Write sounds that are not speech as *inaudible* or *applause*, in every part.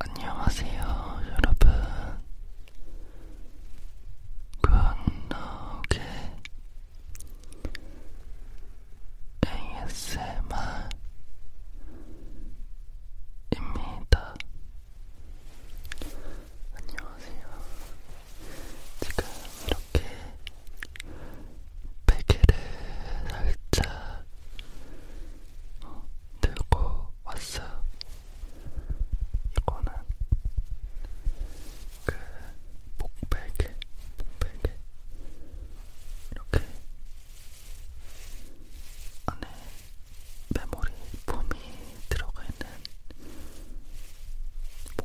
안녕하세요, 여러분. 광나옥의 ASMR입니다. 안녕하세요. 지금 이렇게 베개를 살짝 어, 들고 왔어요. 이거는 그 목베개, 목베개 이렇게 안에 메모리 폼이 들어가 있는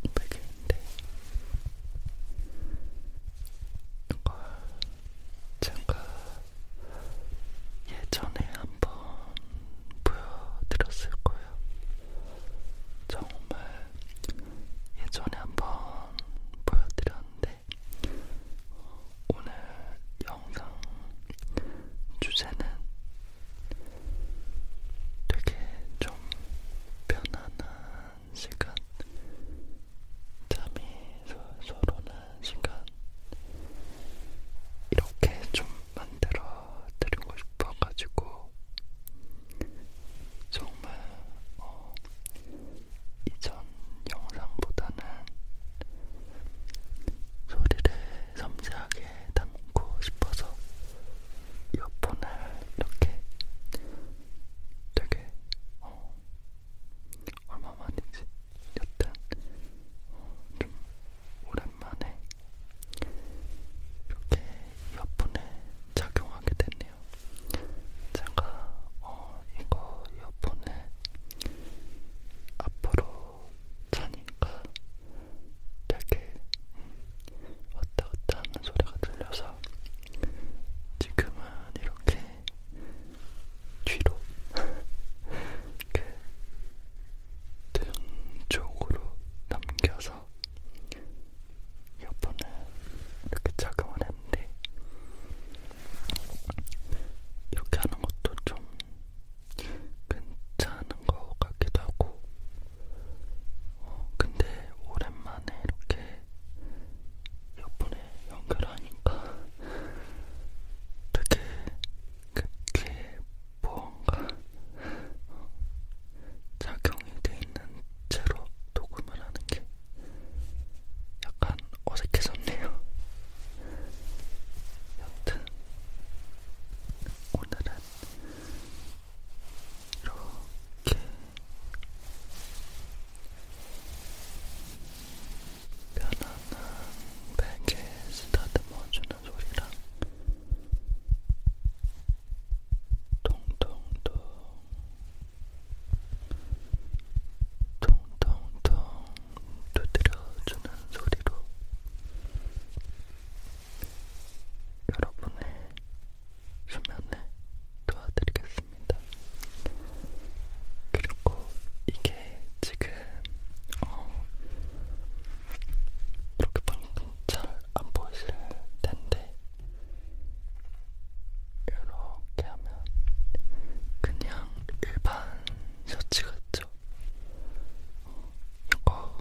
목베개인데 이걸 제가 예전에 한번 보여드렸을 거예요. 정말 예전에 한번 보여드렸는데 오늘 영상 주제는 되게 좀 편안한 시간 잠이 솔솔 오는 시간 이렇게 좀 만들어 드리고 싶어가지고 정말 어, 이전 영상보다는 소리를 섬세하게 담고 싶어서 이어폰을 이렇게 되게 어, 얼마만이지? 여튼 어, 좀 오랜만에 이렇게 이어폰을 착용하게 됐네요. 제가 어, 이거 이어폰을 앞으로 차니까 되게 음, 왔다 갔다 하는 소리가 들려서 지금은 이렇게 뒤로 이렇게 등 쪽으로 남겨서 이어폰을 이렇게 착용을 했는데 이렇게 하는 것도 좀 괜찮은 것 같기도 하고 어, 근데 오랜만에 이렇게 이어폰을 연결하니까 되게 그게 뭔가 작용이 돼 있는 채로 녹음을 하는 게 약간 어색해졌네요. 여튼 오늘은 이렇게 편안한 베개 쓰다듬어주는 소리랑 통통통 통통통 두드려주는 소리로 여러분의 수면을 도와드리겠습니다. 있습니다. 그리고 이게 지금 어, 이렇게 방금 잘안 보이실 텐데 이렇게 하면 그냥 일반 셔츠 같죠? 어, 이거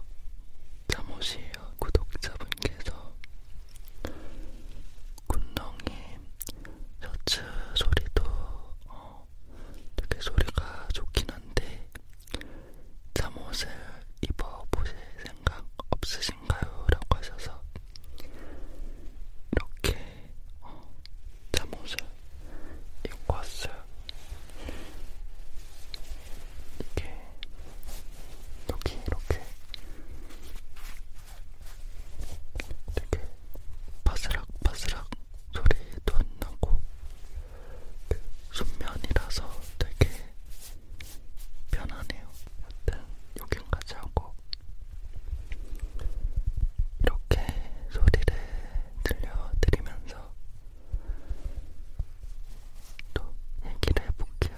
잠옷이에요. 구독자분께서 군덩이 셔츠 소리도 어, 되게 소리가 좋긴 한데 잠옷을 입어보실 생각 없으신가요? 라고 하셔서 이렇게 어, 잠옷을 입고 왔어요. 이게 여기 이렇게 되게 바스락바스락 소리도 안 나고 그 순면이라서 되게 편하네요. 여튼 여긴까지 하고 이렇게 소리를 들려드리면서 또 얘기를 해볼게요.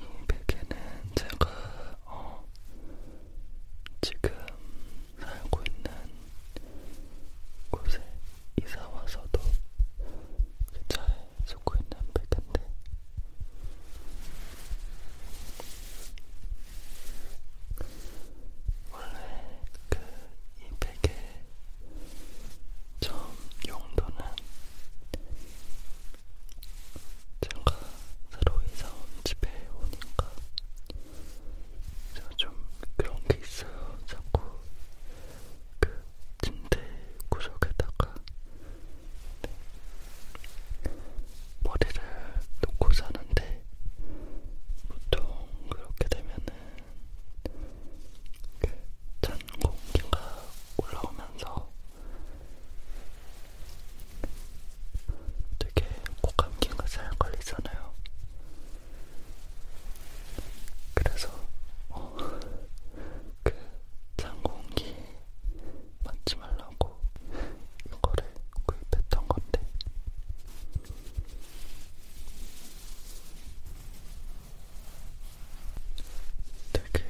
이 베개는 제가 어, 지금 살고 있는 곳에 이사 와서도 그 차에 쓰고 있는 베개인데 원래 그이 베개 처음 용도는 제가 새로 이사온 집에 오니까 제가 좀 그런 게 있어요. 자꾸 그 침대 구석에다가 머리를 놓고 자는데 보통 그렇게 되면은 그 찬 공기가 올라오면서 되게 코감기가 잘 걸리잖아요. 그래서 어, 그찬 공기 맞지 말라고 이거를 구입했던 건데 되게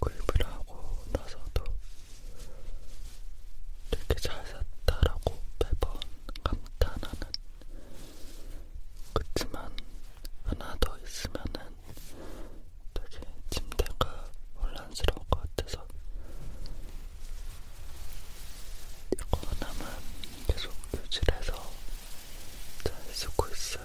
구입을 하고 나서도 되게 잘 샀다라고 매번 감탄하는 그치만 하나 더 있으면은 되게 침대가 혼란스러울 것 같아서 이거 하나만 계속 유지해서 잘 쓰고 있어요.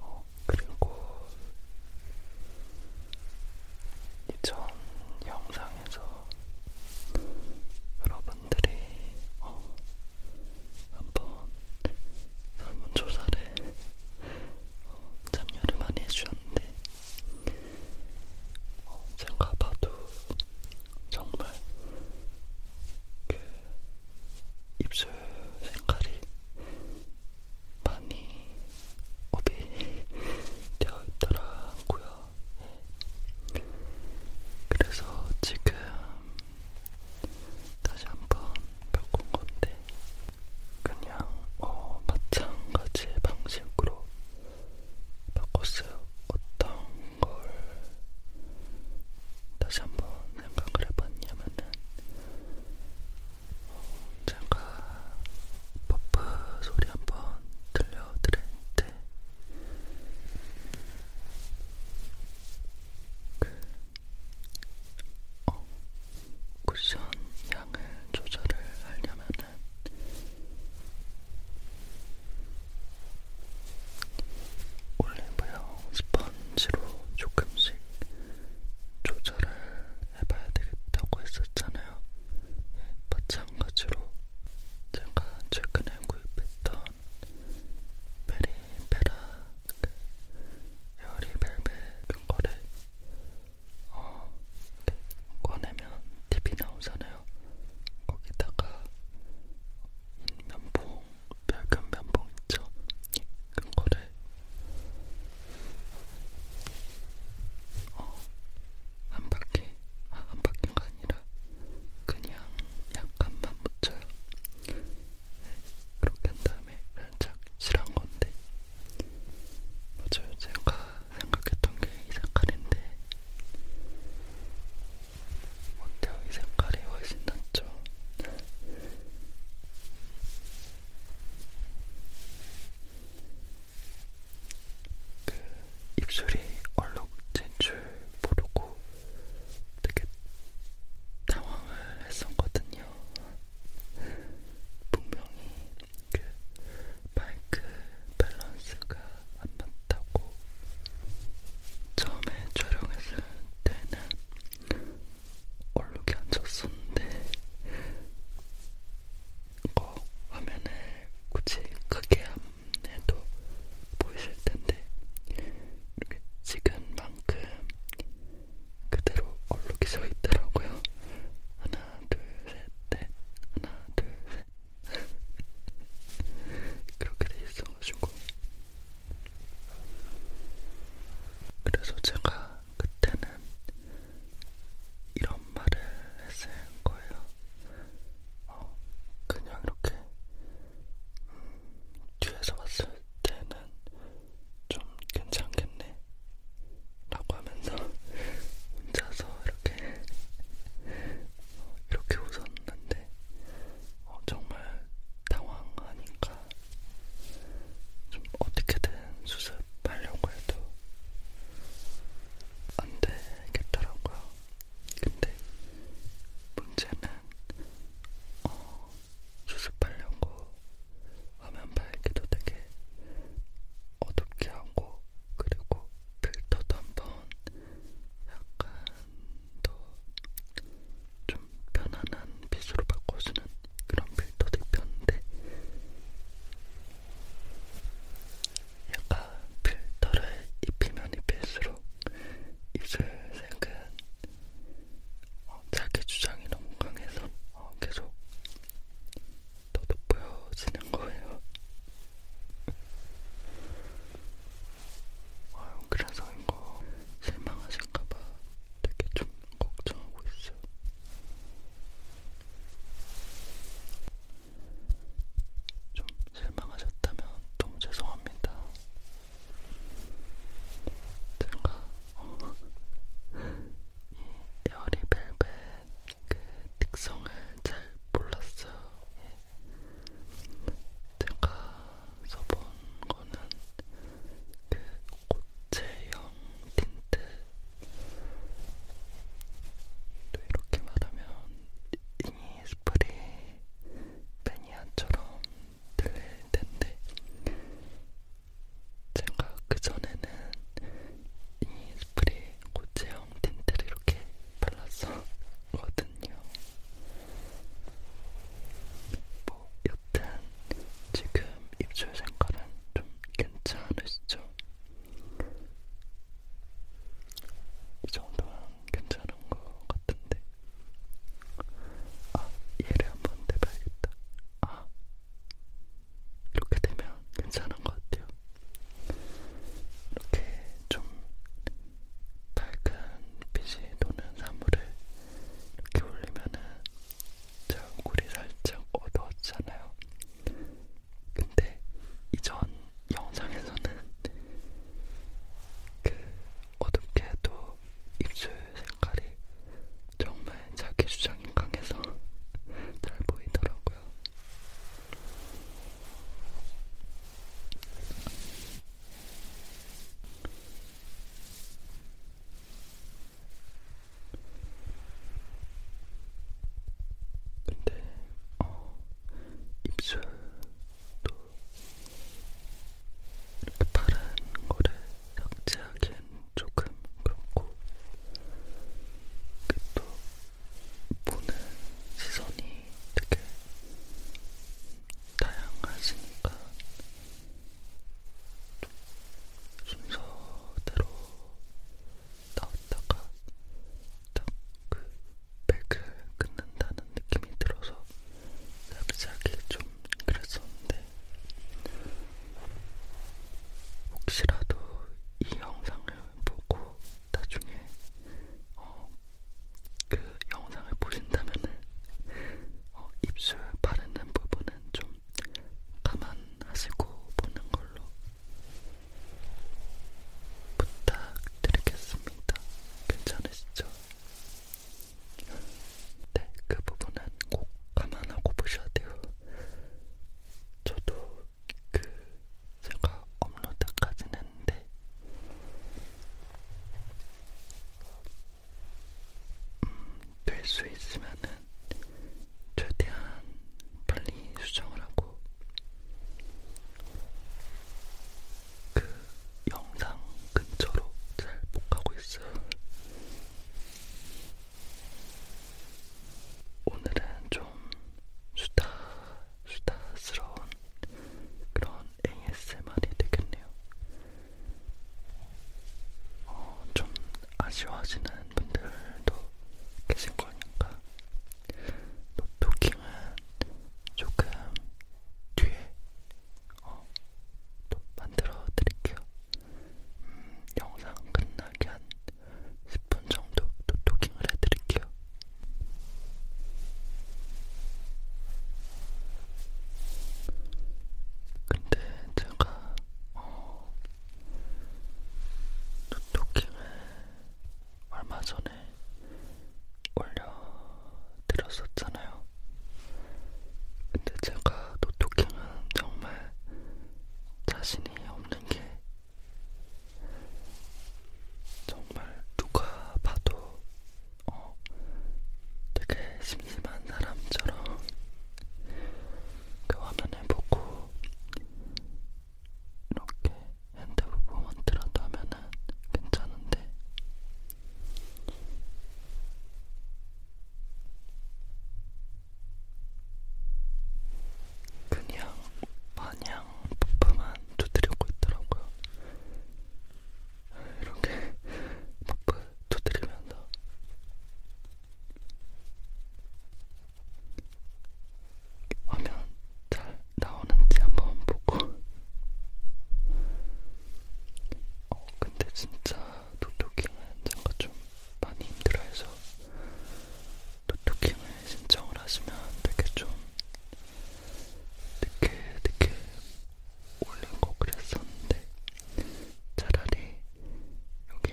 어, 그리고 이전 영상에서 여러분들이 어, 한번 설문조사를 어, 참여를 많이 해주셨는데 어, 제가 봐도 정말 그 입술 색깔이 많이 업이 되어 있더라고요. 네. 그래서 지금 다시 한번 바꾼 건데 그냥 어, 마찬가지 방식으로 바꿨어요. 어떤 걸 다시 한번 생각을 해봤냐면은 어, 제가 버프 소리 한번 들려드릴 때 그, 어, 쿠션 양을 조절을 하려면은 올리브영 스펀지로 조금씩 조절을 해봐야 되겠다고 했었잖아요. 예, 마찬가지로 제가 최근에 구입했던 베리베라 에어리 벨벳 그 거를 어, 꺼내면 TV 나오잖아요. 거기다가 면봉, 붉은 면봉 있죠? 그 거를 어, 한 바퀴, 아, 한 바퀴가 아니라 그냥 약간만 묻혀요. 그렇게 한 다음에 살짝 칠한 건데 맞아요 제가 생각했던 게이 색깔인데 어때요? 이 색깔이 훨씬 낫죠? 그 입술이 얼룩 진줄 모르고 되게 당황을 했었거든요. 분명히 그 마이크 밸런스가 안 맞다고 처음에 촬영했을 때는 얼룩이 앉았었는데 이거 화면을 굳이 크게 안 해도 보이실 텐데 이렇게 찍은 만큼 그대로 얼룩이 서 있더라고요. 하나, 둘, 셋, 넷. 하나, 둘, 셋. *laughs* 그렇게 돼 있어가지고. 그래서 제가 그때는 이런 말을 했을 거예요. 어, 그냥 이렇게 음, 뒤에서 봤을 때는 좀 괜찮겠네? 라고 하면서 혼자서 이렇게 이렇게 웃었는데 어, 정말 당황하니까 좀 어떻게든 수습하려고 해도 안 되겠더라고요. 근데 문제는 어, 수습하려고 화면 밝기도 되게 어둡게 하고 그리고 필터도 한번 약간 더 좀 편안한 빛으로 바꿔주는 그런 필터도 입혔는데 약간 필터를 입히면 입힐수록 입술 색은 어, 자기 주장이 너무 강해서 어, 계속 더 돋보여지는 거예요. 어, 아, 그래서인 거 실망하실까봐 되게 좀 걱정하고 있어요. 좀 실망하셨다면 너무 죄송합니다. 제가 어, 예, 열이 벨벳 그 특성을 잘 몰랐어요. 예. 제가 써본 거는 그 고체형 틴트. 또 이렇게 말하면 이니 스프리 매니아처럼 들릴 텐데 제가 그전에는 이 스프레이 고체형 틴트를 이렇게 발랐었거든요. 뭐 여튼 지금 입술 색깔은 좀 괜찮으시죠? 이 정도는 괜찮은 것 같은데. 아, 얘를 한번 대봐야겠다. 아, 이렇게 되면 괜찮은 것 같아요. 이렇게 좀 밝은 빛이 도는 사물을 이렇게 올리면은 제 얼굴이 살짝 어두워지잖아요. 근데 이전 영상에서는 그 어둡게 해도 입술 색깔이 정말 자기 주장이 강해서 잘 보이더라고요. 근데 어, 입술도 이렇게 파란 거를 적지하게 조금 그렇고 또 보는 시선이 되게 다양하시니까 순서대로 나왔다가 딱 그 백을 끊는다는 느낌이 들어서 갑자기 좀 그랬었는데 네. 혹시라도 이 영상을 보고 나중에 어, 그 영상을 보신다면은 어, 입술 바르는 부분은 좀 감안하시고 보는 걸로 부탁드리겠습니다. 괜찮으시죠? 네, 그 부분은 꼭 감안하고 보셔야 돼요. 저도 그 제가 업로드까지는 했는데 네. 음, 될수 있으면은 최대한 빨리 수정을 하고 그 영상 근처로 잘못 가고 있어요. 오늘은 좀 수다, 수다스러운 그런 ASMR이 되겠네요. 어, 좀 아쉬워하시는 분들도 계실 거니까 노토킹은 조금 뒤에 어, 또 만들어 드릴게요. 음, 영상 끝나기 한 10분 정도 토킹을 해드릴게요. 근데 제가 어, 토킹을 얼마 전에 올려드렸었잖아요. 근데 제가 노토킹은 정말 자신이 없는 게 정말 누가 봐도 어, 되게 심심한 사람처럼 그 화면을 보고 이렇게 핸드 무브먼트라도 하면은 괜찮은데 그냥 마냥 퍼프만 두드리고 있더라고요. 이렇게 퍼프 두드리면서 화면 잘 나오는지 한번 보고 어 근데 진짜 노토킹은 제가 좀 많이 힘들어해서 노트킹을 신청을 하시면 되게 좀 늦게 늦게 올린거 그랬었는데 차라리 여기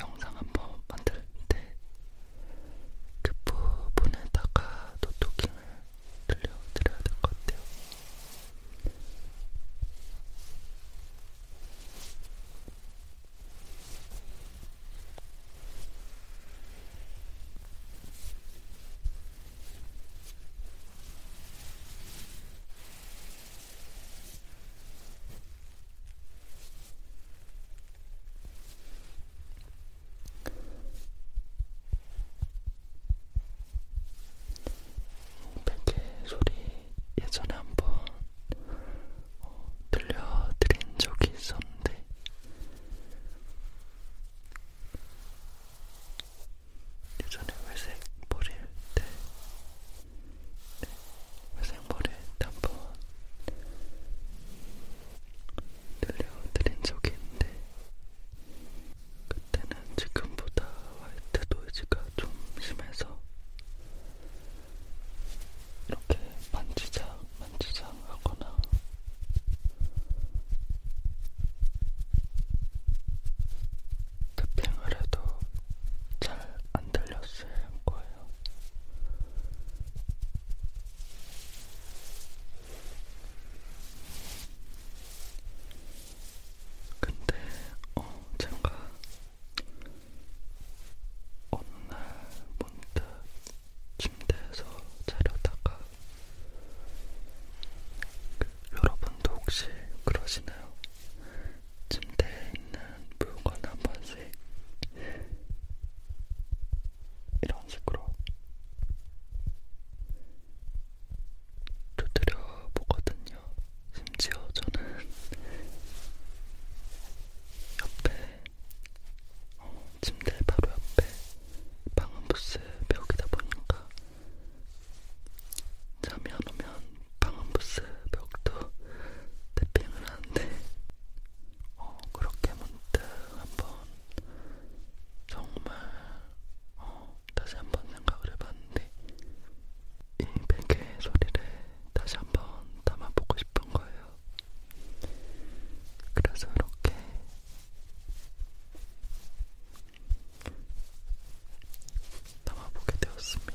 영상 한번 만들 때 그 부분에다가 노트킹을 들려드려야 될 것 같아요. 베개 소리 예전에 한번 어, 들려드린 적이 있었는데 예전에 회색 머리일 때 네, 회색 머리일 때 한 번 들려드린 적이 있는데 그때는 지금보다 화이트 노이즈가 좀 심해서 이렇게 만지작 만지작 하거나 탭핑을 해도 잘 안 들렸을 거예요. 근데 어 제가 어느날 문득 침대에서 자려다가 그, 여러분도 혹시 그러시나요? 침대에 있는 물건 한 번씩 이런 식으로 두드려 보거든요. 심지어 저는 옆에 어, 침대 바로 옆에 방음부스 벽이다 보니까 잠이 안 오면 방음부스 벽도 탭핑을 하는데 어, 그렇게 문득 한번 정말 어, 다시 한번 생각을 해봤는데 이 베개 소리를 다시 한번 담아보고 싶은 거예요. 그래서 이렇게 담아보게 되었습니다.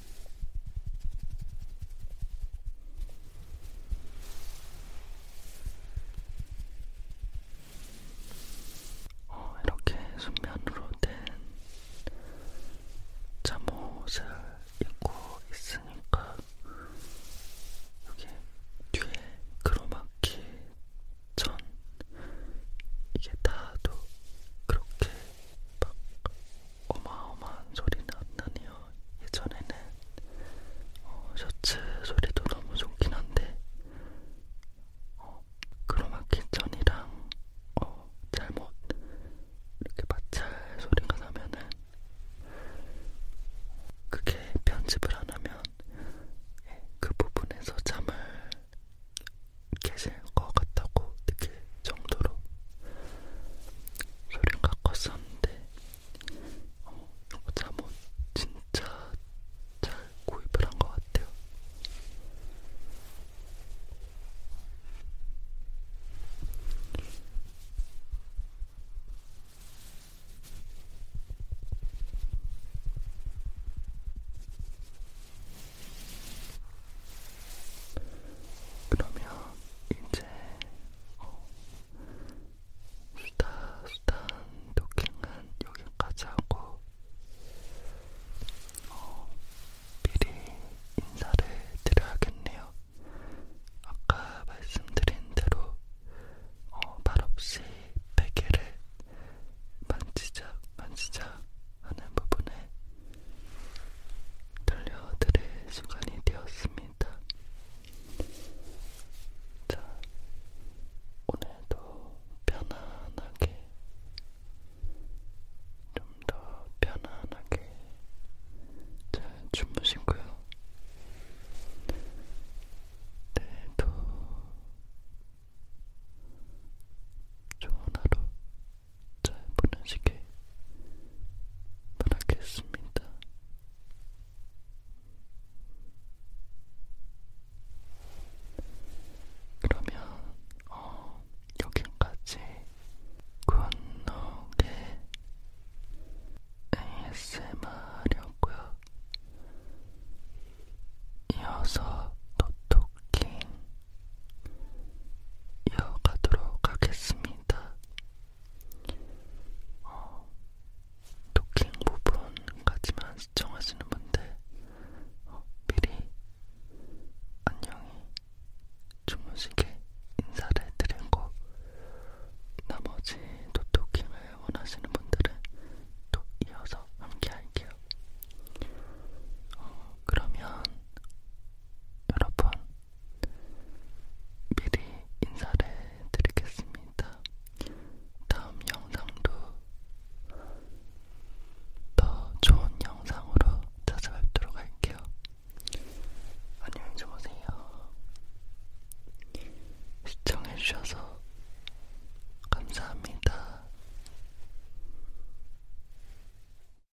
어, 이렇게 순면으로 된 잠옷을 입고 있으니까 여기 뒤에 크로마키 전 이게 다도 그렇게 막 어마어마한 소리 나왔다니요. 예전에는 어, 셔츠 소리도 너무 좋긴 한데 어, 크로마키 전이랑 어, 잘못 이렇게 마찰 소리가 나면은 그게 편집을 안 하면 예, 그 부분에서 잠을 깨질 것 같다고 느낄 정도로 소리가 컸었는데 어, 이거 잠옷 뭐 진짜 잘 구입을 한 것 같아요. 그러면 이제 이제 어, 수다 수다 도킹은 여기까지 하고 어, 미리 인사를 드려야겠네요. 아까 말씀드린 대로 어, 말없이 베개를 만지작 만지작 하는 부분에 들려드릴 시간이 되었습니다. 자, 오늘도 편안하게, 좀 더 편안하게 잘 주무시고요. 내일도 좋은 하루 잘 보내시길 바라겠습니다. 그러면 어, 여기까지 굿노게 ASMR이었고요. 이어서 노토킹 이어가도록 하겠습니다. 어, 도킹 부분까지만 시청하시는 분들 어, 미리 안녕히 주무시게 인사를 드리고 나머지 또 도킹을 원하시는 분들은 또 이어서 함께 할게요. 어, 그러면 여러분 미리 인사를 드리겠습니다. 다음 영상도 더 좋은 영상으로 찾아뵙도록 할게요. 안녕히 주무세요. 시청해주셔서 감사합니다.